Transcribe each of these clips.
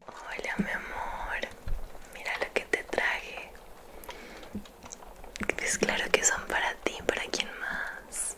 Hola mi amor, mira lo que te traje. es claro que son para ti, para quien más.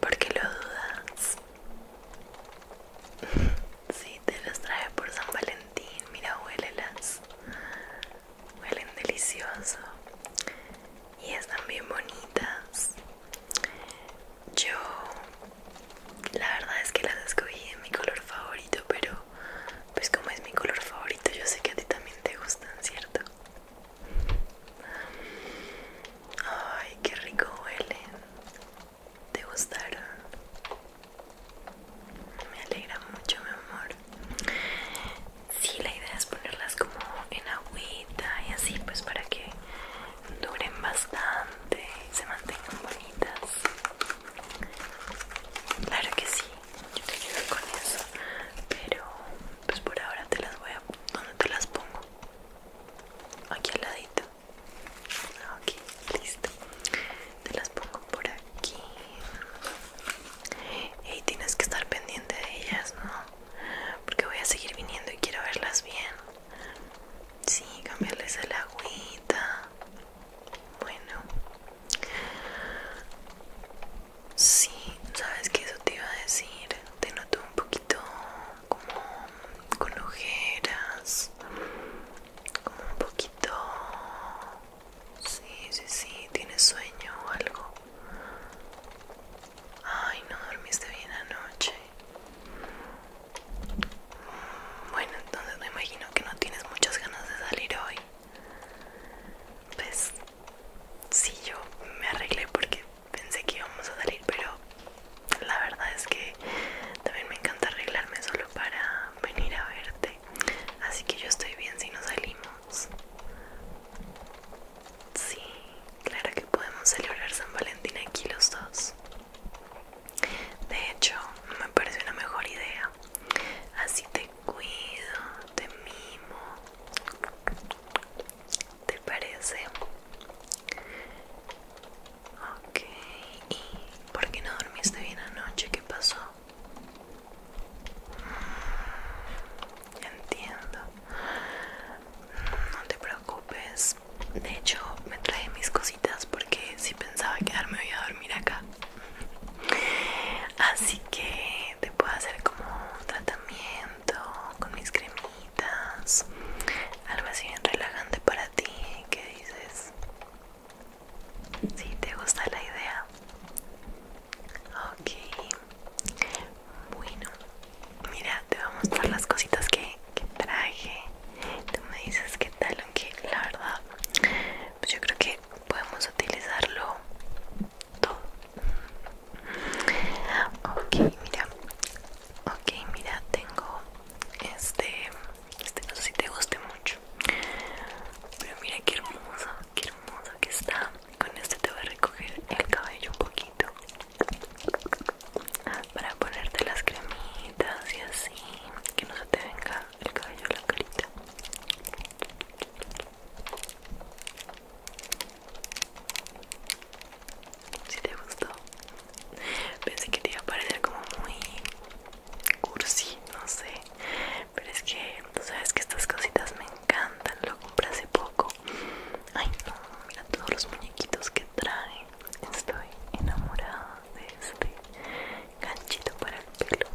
¿Por qué lo dudas? Sí, te los traje por San Valentín, mira, huélelas. Huelen delicioso. Y están bien bonitas. Yo, la verdad es que las escogí en mi color favorito, pero pues como es mi color favorito, yo sé que a ti también te gustan, ¿cierto? Ay, qué rico huelen. ¿Te gustaron? Me alegra mucho, mi amor. Sí, la idea es ponerlas como en agüita y así, pues para que duren bastante y se mantengan bonitas. Claro que sí, yo te ayudo con eso, pero pues por ahora te las voy a... ¿Dónde te las pongo? Aquí al ladito. Ah, ok, listo. Te las pongo por aquí. Y tienes que estar pendiente de ellas, ¿no? Porque voy a seguir viniendo y quiero verlas bien. Sí, cambiarles el agüita. Bueno. Sí, sabes qué eso te iba a decir. Te noto un poquito como con ojeras. Como un poquito... Sí, sí, sí. ¿Tienes sueño o algo? Ay, no dormiste bien anoche. Bueno, entonces me imagino que no tienes muchas ganas de salir hoy. Pues sí, yo me arreglé porque pensé que íbamos a salir, pero la verdad es que también me encanta arreglarme solo para venir a verte. Así que yo estoy bien si no salimos. Sí, claro que podemos celebrar San Valentín aquí los dos. De hecho, me parece una mejor idea. Así te cuido, te mimo. ¿Te parece? Ok. ¿Y por qué no dormiste bien anoche? ¿Qué pasó? Entiendo. No te preocupes. De hecho, me traje mis cositas porque si pensaba quedarme voy a dormir acá. Así que te puedo hacer como un tratamiento con mis cremitas. Algo así bien relajante para ti. ¿Qué dices? Si te gusta la idea. Ok. Bueno, mira, te voy a mostrar las cositas que que traje tú me dices qué tal aunque la verdad pues yo creo que podemos utilizarlo todo ok mira ok mira tengo este este no sé si te guste mucho pero mira qué hermoso qué hermoso que está con este te voy a recoger el cabello un poquito ah, para ponerte las cremillas y así que no se te venga el cabello a la carita si te gustó pensé que te iba a parecer como muy cursi no sé pero es que tú sabes que estas cositas me encantan lo compré hace poco ay no mira todos los muñequitos que traen estoy enamorada de este ganchito para el pelo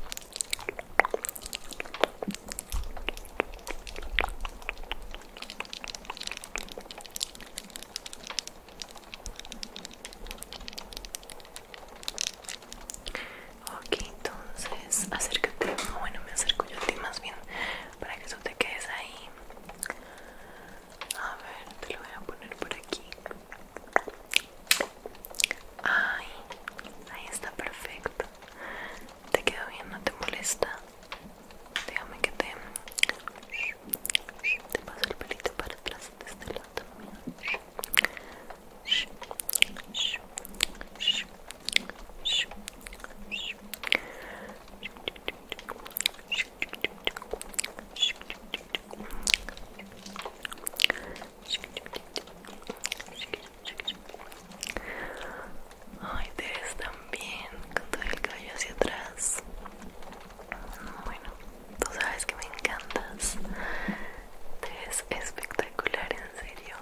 Ok, entonces acércate, ah, bueno me acerco yo a ti más bien para que tú te quedes ahí a ver, te lo voy a poner por aquí. Ay, ahí está perfecto. Te quedó bien, no te molesta. Déjame que te. Te paso el pelito para atrás de este lado también. Ay, te ves tan bien con todo el cabello hacia atrás. Bueno, tú sabes que me encantas. Te ves espectacular, en serio.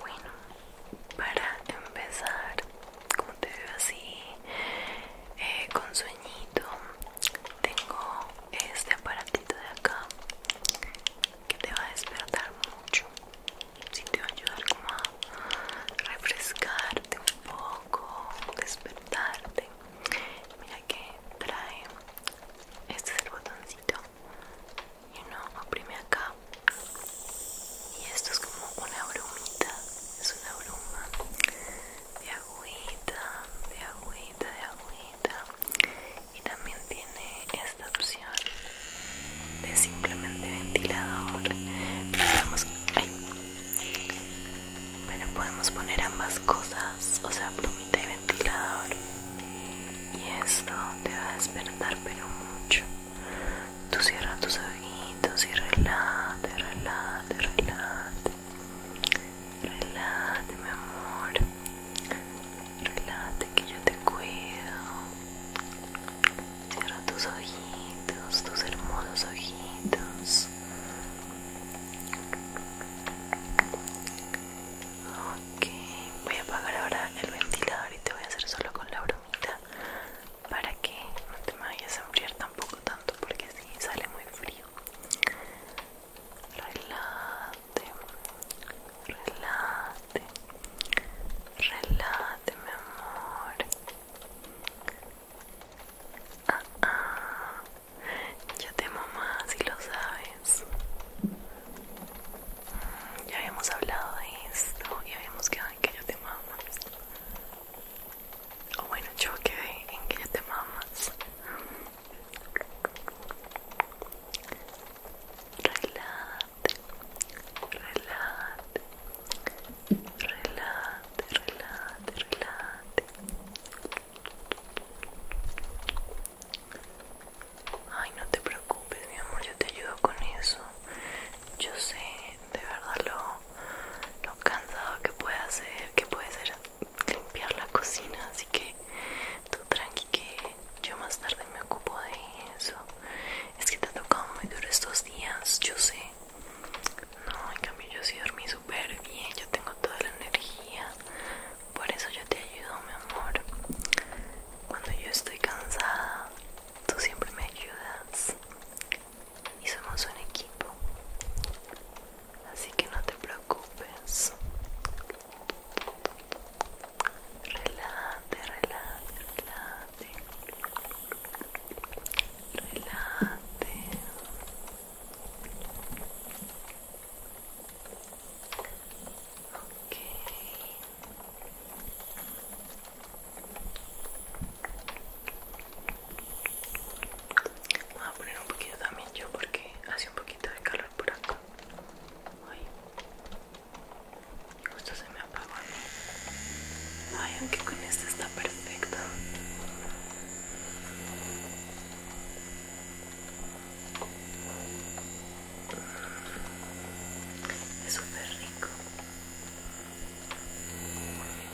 Bueno, para empezar, te veo así eh, con sueñito tengo este aparatito de acá que te va a despertar mucho si te va a ayudar como a refrescarte un poco despertarte mira que trae este es el botoncito y uno oprime acá y esto es como una brumita es una bruma de agüita, de agüita, de agüita. Y también tiene esta opción de simplemente ventilador. Pero podemos, poner ambas cosas, o sea, plumita y ventilador. Y esto te va a despertar, pero mucho. Tú cierra tus ojitos y relate, relate, relate Relájate, mi amor. Relájate que yo te cuido. Cierra tus ojitos, tus hermosos ojitos. Ok, voy a apagar ahora el ventilador y te voy a hacer solo con la bromita para que no te vayas a enfriar un poco tanto porque si sale muy frío relate relate relate mi amor ah, ah. ya te mamá si lo sabes mm, ya habíamos hablado de esto y habíamos quedado en que yo te amo o bueno, yo en que ya te mamas. Relate, relate, relate, relate, relate Ay, no te preocupes, mi amor, yo te ayudo con eso. Yo sé, de verdad lo lo cansado que puede hacer, que puede ser limpiar la cocina, así que tú tranqui que yo más tarde me ocupo de eso. Es que te ha tocado muy duro estos días, yo sé. No, en cambio yo sí dormí súper bien, yo tengo toda la energía. Por eso yo te ayudo, mi amor. Cuando yo estoy cansada, tú siempre me ayudas y somos un equipo. Así que no te preocupes. Relate, relate, relate Relate Ok. Voy a poner un poquito también yo porque hace un poquito de calor por acá. Ay, justo se me apagó. Ay, aunque con esta está perfecta. Es súper rico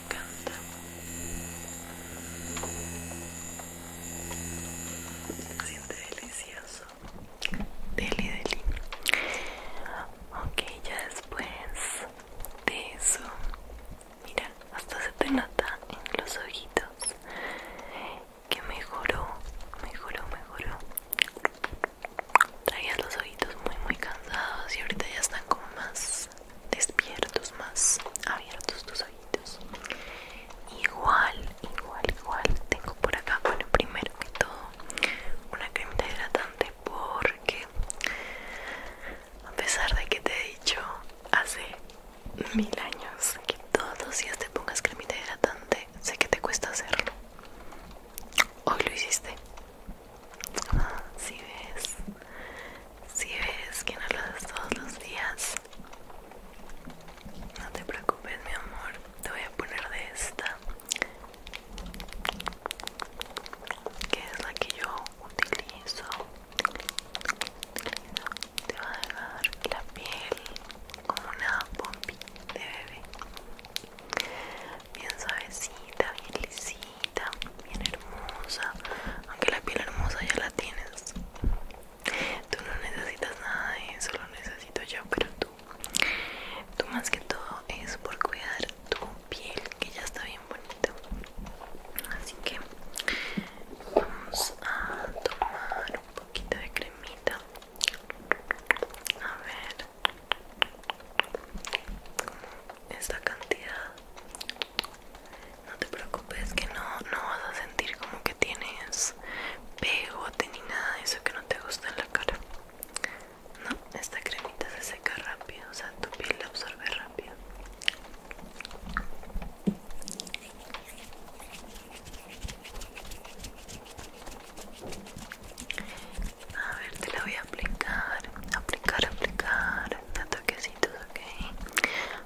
me encanta. Siente delicioso. Deli, deli. Ok, ya después de eso. Mira, hasta se te nota en los ojitos que mejoró, mejoró, mejoró. Traías los ojitos muy, muy cansados y ahorita ya están como más despiertos, más abiertos tus ojitos. Igual, igual, igual. Tengo por acá, bueno, primero que todo, una cremita hidratante porque, a pesar de que te he dicho hace mil años que todos los días te pongas cremita hidratante, sé que te cuesta hacerlo. Hoy lo hiciste. Ah, si ves, si ves que no lo haces todos los días, no te preocupes, mi amor. Te voy a poner de esta, que es la que yo utilizo. Te va a dejar la piel como una bombita de bebé, bien suavecita, bien lisita bien hermosa. Aunque la piel hermosa ya la tienes. Tú no necesitas nada de eso, lo necesito yo, pero tú. Tú más que todo es por cuidar tu piel, que ya está bien bonita. Así que vamos a tomar un poquito de cremita. A ver esta cantidad no te preocupes que no, vas a sentir como que tienes pegote ni nada de eso que no te gusta en la cara no, esta cremita se seca rápido o sea tu piel la absorbe rápido a ver, te la voy a aplicar, aplicar, aplicar, a toquecitos, ok.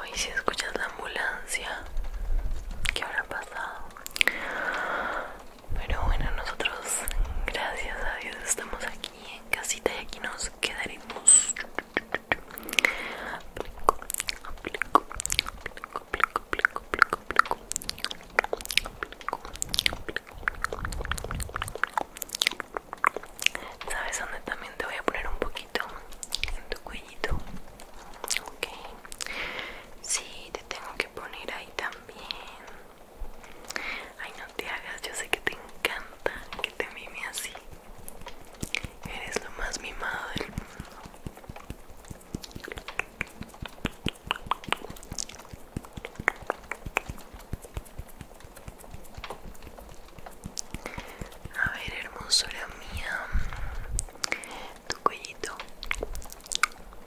Ay, si escuchas la ambulancia, ¿qué habrá pasado? Pero bueno, nosotros, gracias a Dios, estamos aquí en casita y aquí nos quedaremos. ¿Sabes dónde también te voy a poner un poquito? En tu cuellito. Ok. Sí, te tengo que poner ahí también. Ay, no te hagas, yo sé que te encanta que te mime así. Eres lo más mimado del mundo. A ver, hermosura mía, tu cuellito.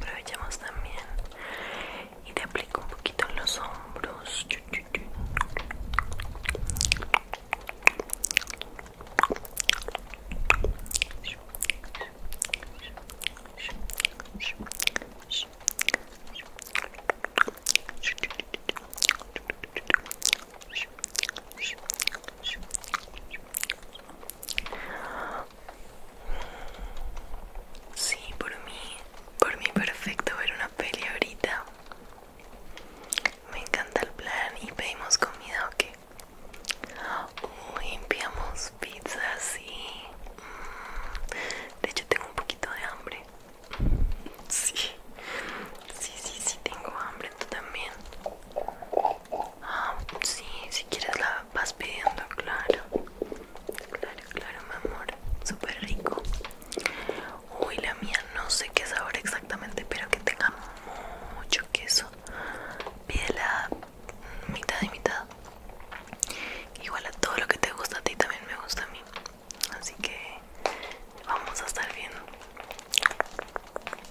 Aprovechamos también y te aplico un poquito en los hombros. Sí, por mí, por mí perfecto ver una peli ahorita. Me encanta el plan y pedimos comida o qué? limpiamos pizza, sí. Mm, de hecho tengo un poquito de hambre. Sí, sí, sí, sí tengo hambre, tú también. Ah, sí, si quieres la vas pidiendo, claro. Claro, claro, mi amor. Súper rico. Uy, la mía no sé qué sabor exactamente, pero que tenga mucho queso. Pídela mitad y mitad. Igual a todo lo que te gusta a ti también me gusta a mí. Así que vamos a estar bien.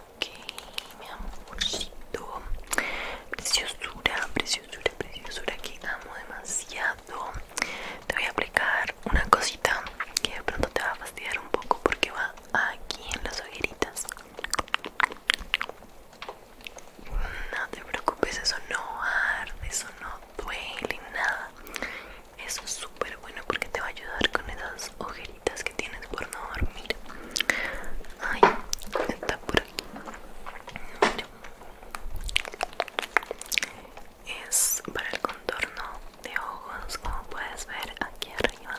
Ok, mi amorcito. Preciosura, preciosura, preciosura que amo demasiado. Te voy a aplicar una cosita que de pronto te va a fastidiar un poco porque va aquí en las ojeras. No te preocupes, eso no arde, eso no duele, nada. Eso es súper bueno porque te va a ayudar con esas ojeritas que tienes por no dormir. Ay, está por aquí. Es para el contorno de ojos, como puedes ver aquí arriba.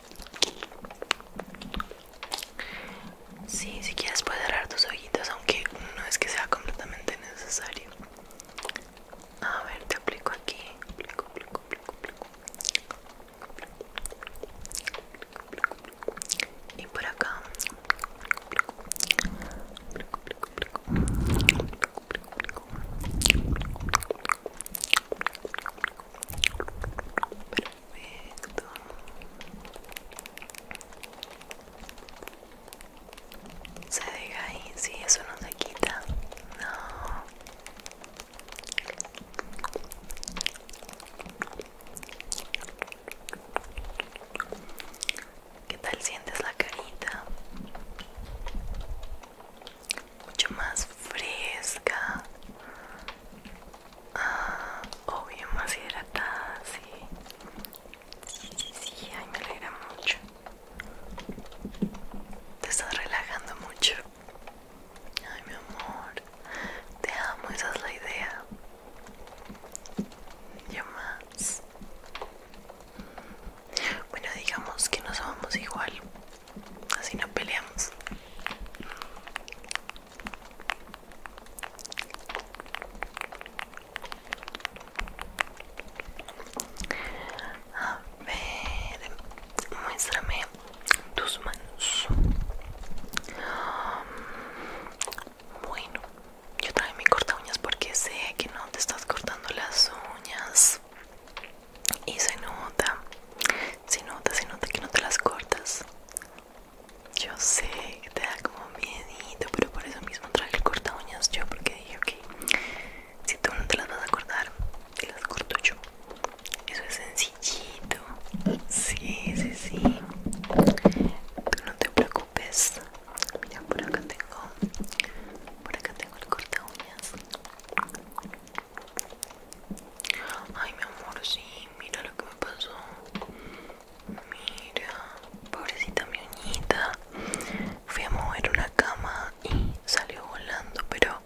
Sí, si quieres puedes cerrar tus ojitos, aunque no es que sea completamente necesario. A ver, te aplico aquí. Y por acá. Perfecto. Se deja ahí, si, eso no se quita. No. ¿Qué tal sientes la carita? Mucho más fresca. Ah, obvio, más hidratada, sí. Sí, ay, me alegra mucho. Te estás relajando mucho. Ay, mi amor. Te amo, esa es la idea. ya más. Mm, bueno, digamos que nos amamos igual. Así no peleamos. A ver, muéstrame tus manos. Um, bueno, yo traje mi corta uñas porque sé que no te estás cortando las uñas. Y se nota, se nota, se nota que no te las cortas. Yo sé que te da como miedito, pero por eso mismo traje el corta uñas yo, porque dije, que si tú no te las vas a cortar, te las corto yo. Eso es sencillito. Sí, sí, sí. Tú no te preocupes. Mira, por acá tengo, por acá tengo el corta uñas. Ay, mi amor, sí, mira lo que me pasó. Mira, pobrecita mi uñita. Fui a mover una cama y salió volando, pero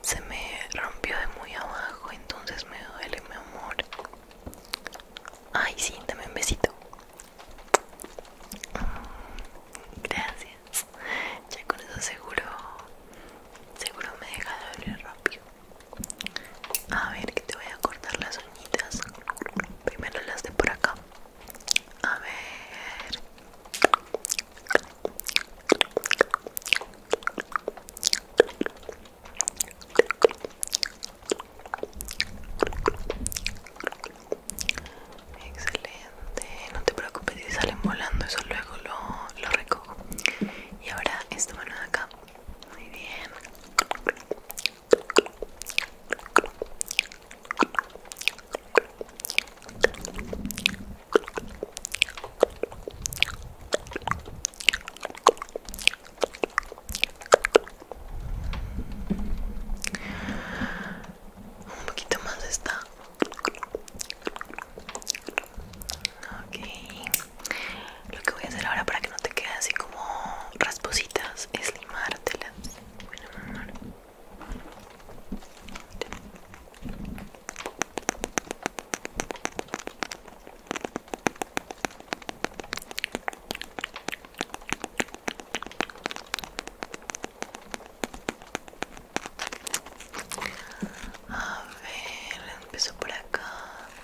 se me rompió de muy abajo, entonces me duele, mi amor. Ay, sí, dame un besito. Mm, gracias. Ya con eso seguro, seguro me deja de doler rápido. A ver, que te voy a cortar las uñitas. Primero las de por acá. A ver. Excelente, no te preocupes si salen volando, eso luego lo, lo recojo. Y ahora esta mano de acá. Muy bien. Un poquito más está. Okay. Lo que voy a hacer ahora para que no te quede así como raspositas es limártelas. Bueno, A ver, empiezo por acá.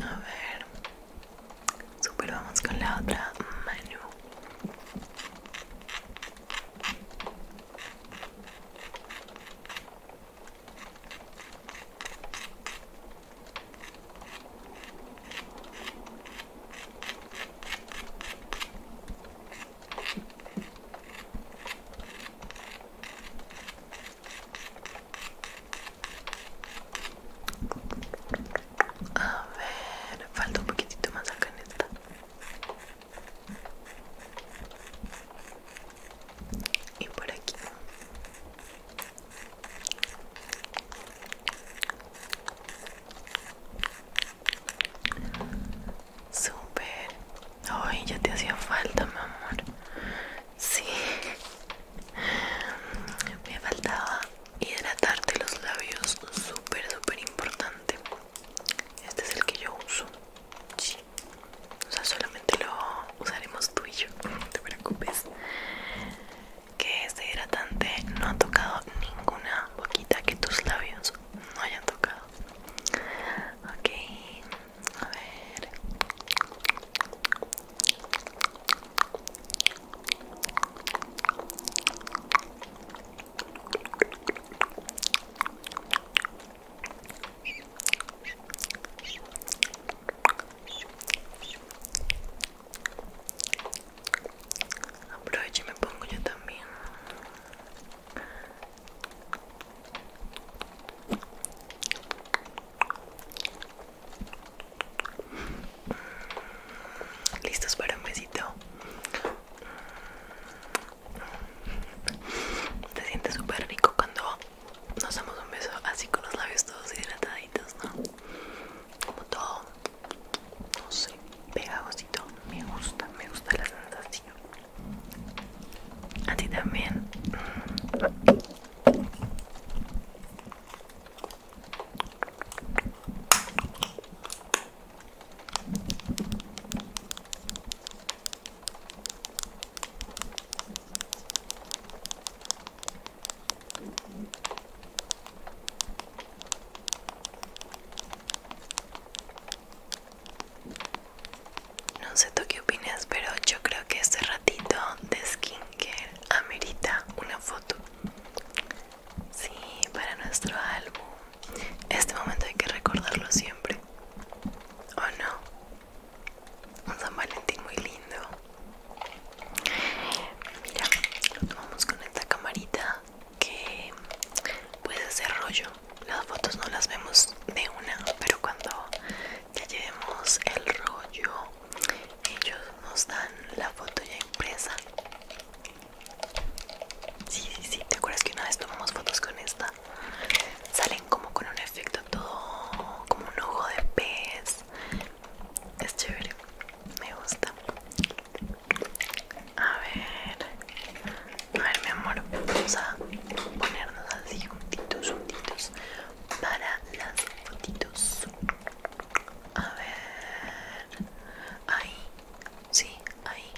A ver, super vamos con la otra mano. A ver, falta un poquitito más acá en esta. Y por aquí. Super. Ay, ya te hacía falta, mi amor. Sí. Me faltaba hidratarte los labios. Súper, súper importante. Este es el que yo uso. Sí. O sea, solamente lo usaremos tú y yo. No te preocupes que este hidratante no ha tocado ninguna boquita que tus labios no hayan tocado. Ok, a ver aproveche me pongo yo también. Listos para un besito. te siente súper rico cuando nos damos un beso así con los labios todos hidrataditos, ¿no? como todo, no sé, pegajosito. Me gusta, me gusta la sensación. A ti también. No sé tú qué opinas, pero yo creo que este ratito de skincare amerita una foto. Sí, para nuestro álbum. Este momento hay que recordarlo siempre. ¿O no? Un San Valentín muy lindo. Mira, lo tomamos con esta camarita que puede hacer rollo. Las fotos no las vemos de una, pero cuando ya llevemos el rollo, ellos nos dan la foto ya impresa. Sí, sí, sí, ¿te acuerdas que una vez tomamos fotos con esta? Salen como con un efecto todo, como un ojo de pez. Es chévere me gusta a ver a ver mi amor vamos a ponernos así juntitos juntitos para las fotitos a ver ahí sí ahí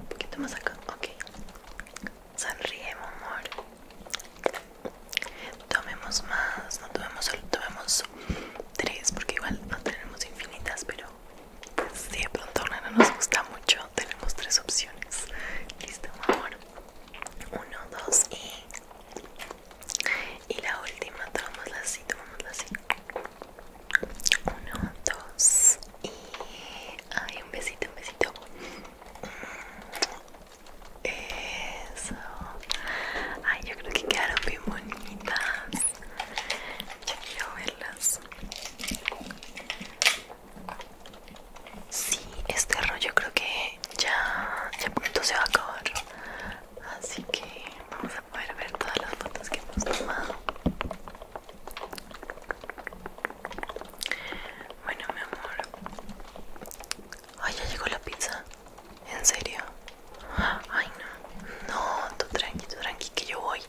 un poquito más acá ok sonríe mi amor tomemos más no tomemos solo tomemos tres porque igual no tenemos infinitas pero pues, si de pronto no nos gusta mucho tenemos tres opciones listo amor uno dos y y la última tomámosla así la así uno dos y ay un besito un besito eso. Ay, yo creo que quedaron bien bonitas. Ya quiero verlas. Sí, este rollo creo que ya, ya pronto se va a acabar. Así que vamos a poder ver todas las fotos que hemos tomado. Bueno, mi amor, Ay, ya llegó la pizza. ¿En serio? Ay, no. No, tú tranqui, tú tranqui, que yo voy.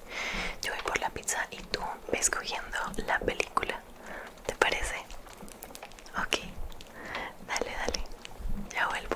Yo voy por la pizza y tú ves cogiendo la película. ¿Te parece? Ok. Dale, dale. Ya vuelvo.